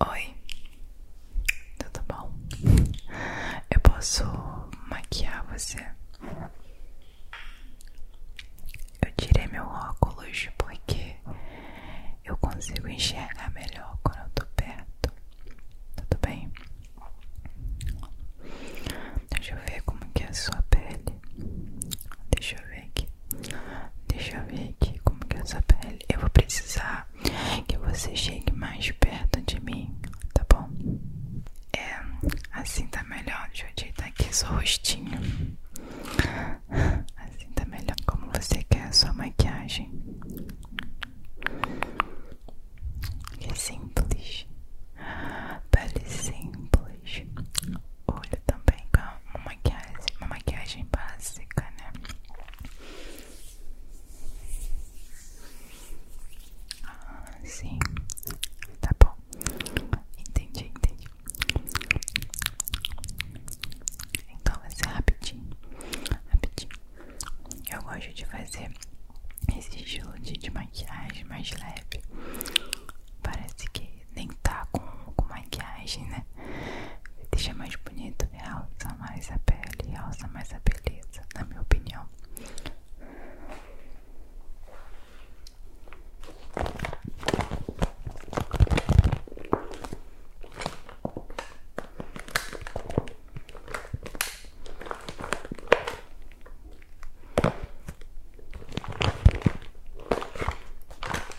Oi, tudo bom? Eu posso maquiar você? Eu tirei meu óculos porque eu consigo enxergar melhor quando eu tô perto. Tudo bem? Deixa eu ver como que é a sua pele. Deixa eu ver. Deixa eu ver aqui como que é essa pele. Eu vou precisar que você chegue mais perto de mim, tá bom? É, assim tá melhor. Deixa eu ajeitar aqui seu rostinho. Assim tá melhor. Como você quer a sua maquiagem? é simples. Pele simples olho também com uma maquiagem, uma maquiagem básica, né? Ah, sim, tá bom, entendi, entendi. Então vai ser rapidinho, rapidinho. Eu gosto de fazer esse estilo de maquiagem mais leve. Parece que nem tá com, com maquiagem, né? Deixa mais bonito, realça mais a pele, realça mais a beleza, na minha opinião.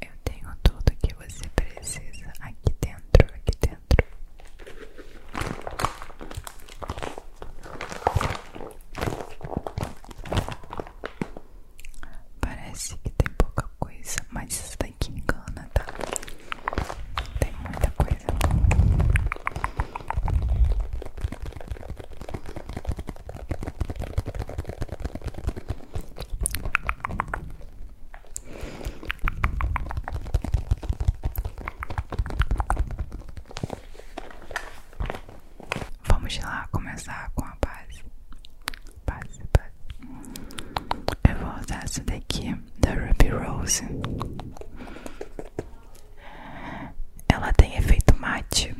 Eu tenho tudo que você precisa aqui dentro, aqui dentro. Parece que tem pouca coisa, mas isso daqui engana, tá? Tem muita coisa. Vamos lá começar com a base. Base, base. Eu vou usar essa daqui da Ruby Rose. Ela tem efeito mate.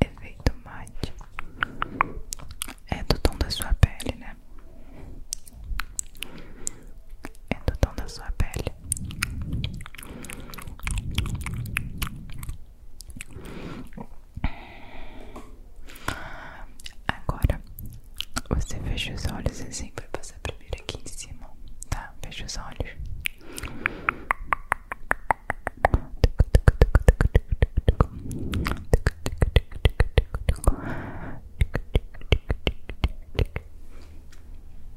Efeito mate é do tom da sua pele, né? É do tom da sua pele. Agora, você fecha os olhos assim, vai passar primeiro aqui em cima, tá? Fecha os olhos.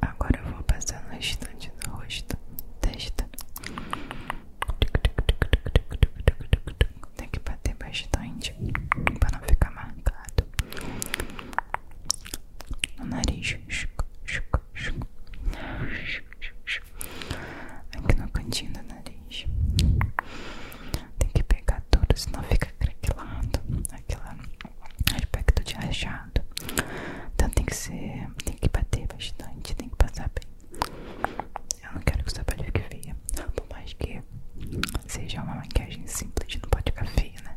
Agora eu vou passar no restante do rosto, testa. Tem que bater bastante para não ficar marcado no nariz, aqui no cantinho do nariz. Tem que pegar tudo, senão fica craquelado, aquele aspecto de rachado. Então tem que ser, tem que bater bastante, tem que passar bem. Eu não quero que o trabalho fique feio, por mais que seja uma maquiagem simples, não pode ficar feia, né?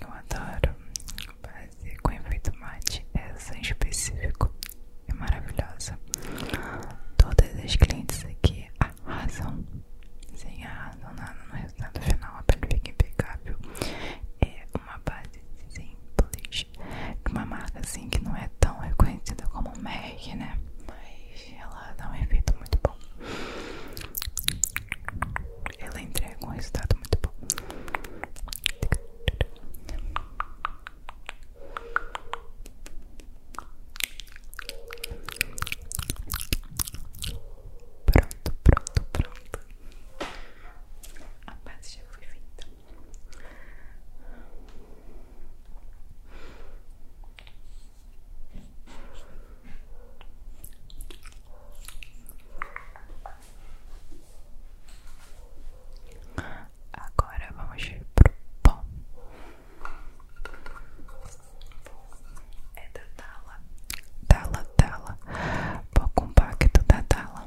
Eu adoro base com efeito mate, essa em específico é maravilhosa. Todas as clientes aqui razão, sem razão nada no resultado final, a pele fica impecável. É uma base simples, de uma marca assim que não é tão reconhecida como o MAC, né? Mas ela dá um efeito muito bom. Ela entrega um resultado muito bom. Pronto, pronto, pronto. A base já foi feita. Agora vamos pro pó. É da Tala. Tala, Tala. Pó compacto da Tala.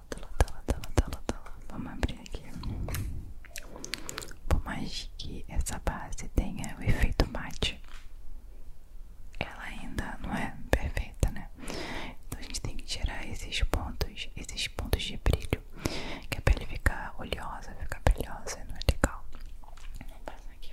Vamos abrir aqui. Por mais que essa base tenha o efeito mate, ela ainda não é perfeita, né? Então a gente tem que tirar esses pontos, esses pontos de brilho, que a pele fica oleosa, fica brilhosa, não é legal. Vamos passar aqui.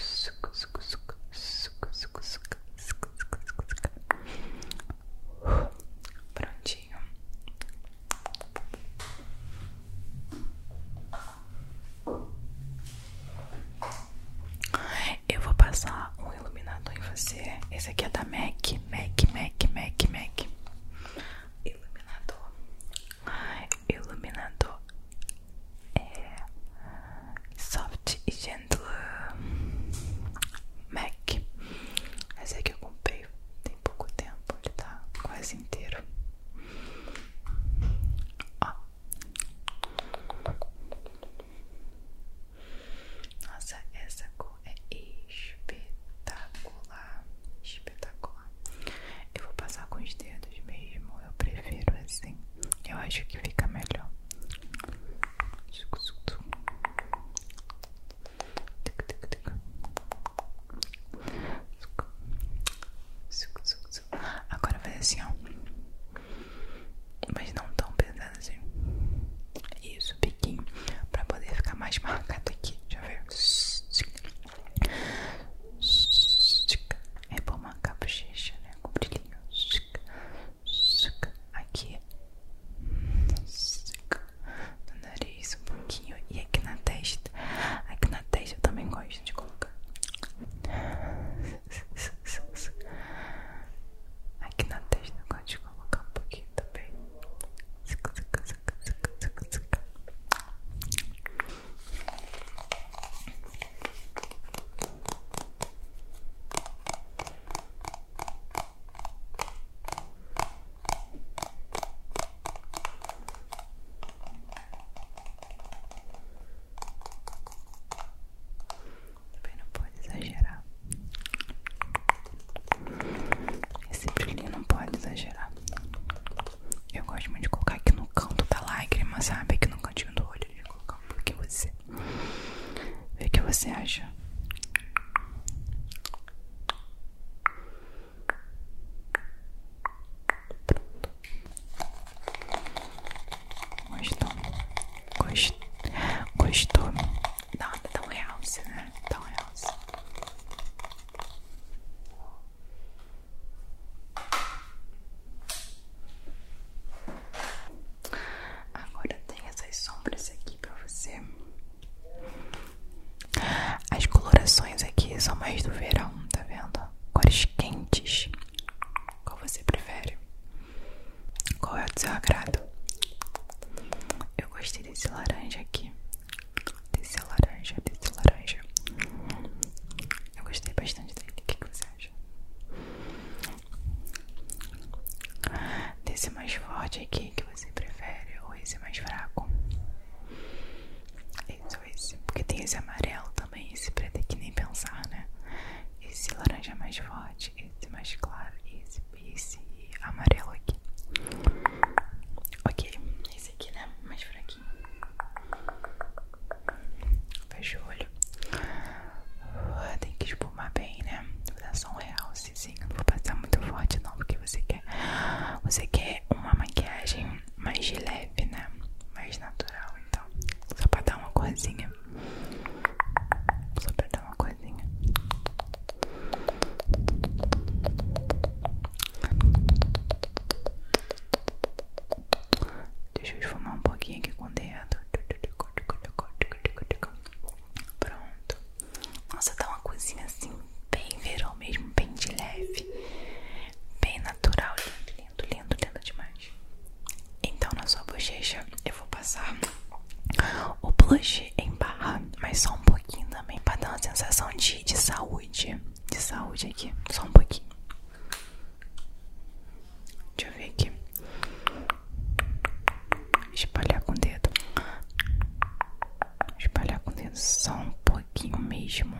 suco, suco, suco, suco, suco, suco, suco, suco, suco, suco. Prontinho. Eu vou passar um iluminador em você. Esse aqui é da MAC, MAC, MAC, MAC, MAC. Iluminador. Iluminador é Soft e Gentle MAC. Esse é que eu comprei tem pouco tempo, ele tá quase inteiro. Ó. Nossa, essa cor é espetacular. Espetacular. Eu vou passar com os dedos mesmo, eu prefiro assim. Eu acho que fica melhor. Agora vai assim, ó. Mas não tão pesado assim. Isso, biquinho. Pra poder ficar mais marcado aqui. Deixa eu ver. É bom marcar a bochecha, né? Com brilhinho. Aqui. No nariz um pouquinho. E aqui na testa. Aqui na testa eu também gosto de colocar. Aqui na testa eu gosto de colocar um pouquinho também. Também não pode exagerar. Esse brilho não pode exagerar eu gosto muito de colocar aqui no canto da lágrima, sabe? Aqui no cantinho do olho, de colocar um pouquinho você. Vê o que você acha. Pronto. Gostou? Gost... Gostou? Nada, dá um realce, né? Dá um realce. Agora tem essas sombras aqui pra você. As colorações aqui são mais do verão, tá vendo? Cores quentes. Qual você prefere? Qual é o seu agrado? Eu gostei desse laranja aqui. Desse laranja, desse laranja. Eu gostei bastante dele. O que, você acha? Desse mais forte aqui que você prefere ou esse mais fraco? Esse ou esse? Porque tem esse amarelo também, esse preto é que nem pensar, né? Esse laranja é mais forte, esse mais claro esse, esse amarelo aqui. Ok, esse aqui, né? Mais fraco aqui. Fecha o olho. Ah, tem que espumar bem, né? Vou dar só um realcezinho. Não vou passar muito forte, não, porque você quer. Você quer uma maquiagem mais leve, né? Mais natural, então. Só pra dar uma coisinha Só pra dar uma coisinha Deixa eu esfumar um pouquinho aqui com o dedo. Pronto. Nossa, dá tá uma coisinha assim, bem verão mesmo, bem de leve. Bem natural, lindo, lindo, lindo, lindo demais. Então na sua bochecha eu vou passar o blush em barra, mas só um pouquinho também, pra dar uma sensação de de, saúde. De saúde aqui. Só um pouquinho. Deixa eu ver aqui. Espalhar com o dedo. Espalhar com o dedo só um pouquinho mesmo.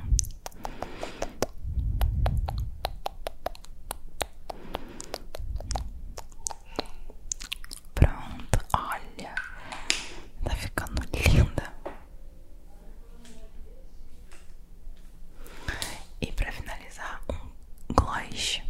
Pronto, olha. Tá ficando linda. E para finalizar, um gloss.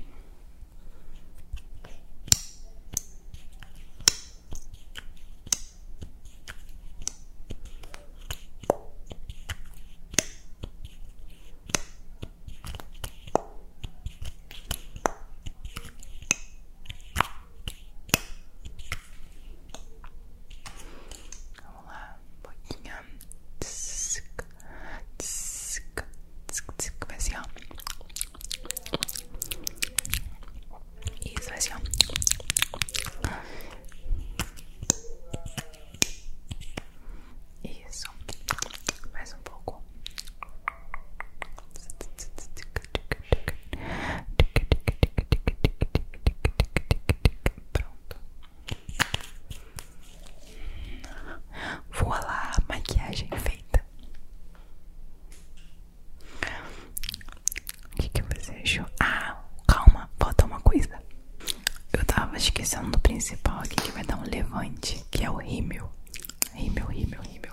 Vamos lá, um pouquinho. Tsc, tsc, tsc, tsc. Vai assim, Isso, vai assim, Isso. Mais um pouco. Pronto. Voa lá, maquiagem feita. O que, que você achou? Ah, calma, falta uma coisa. Eu tava esquecendo do principal aqui que vai dar um levante, que é o rímel. Rímel, rímel, rímel.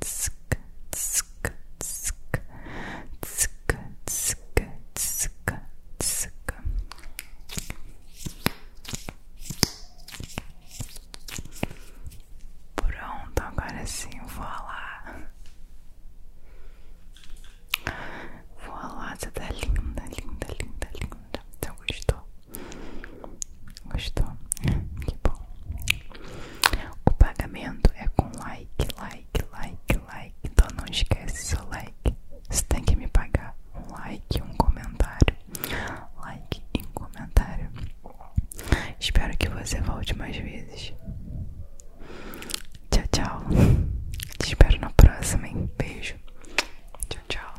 tsk, tsk, tsk, tsk, tsk, tsk, tsk. Pronto, agora sim, vou lá. Vou lá, você tá linda, linda, linda, linda. Você gostou? Gostou? Que bom. O pagamento é com like, like, like, like. Então não esquece seu like. Você tem que me pagar um like, um comentário. Like e um comentário. Espero que você volte mais vezes. Tchau, tchau. Te espero na próxima, Beijo. Tchau, tchau.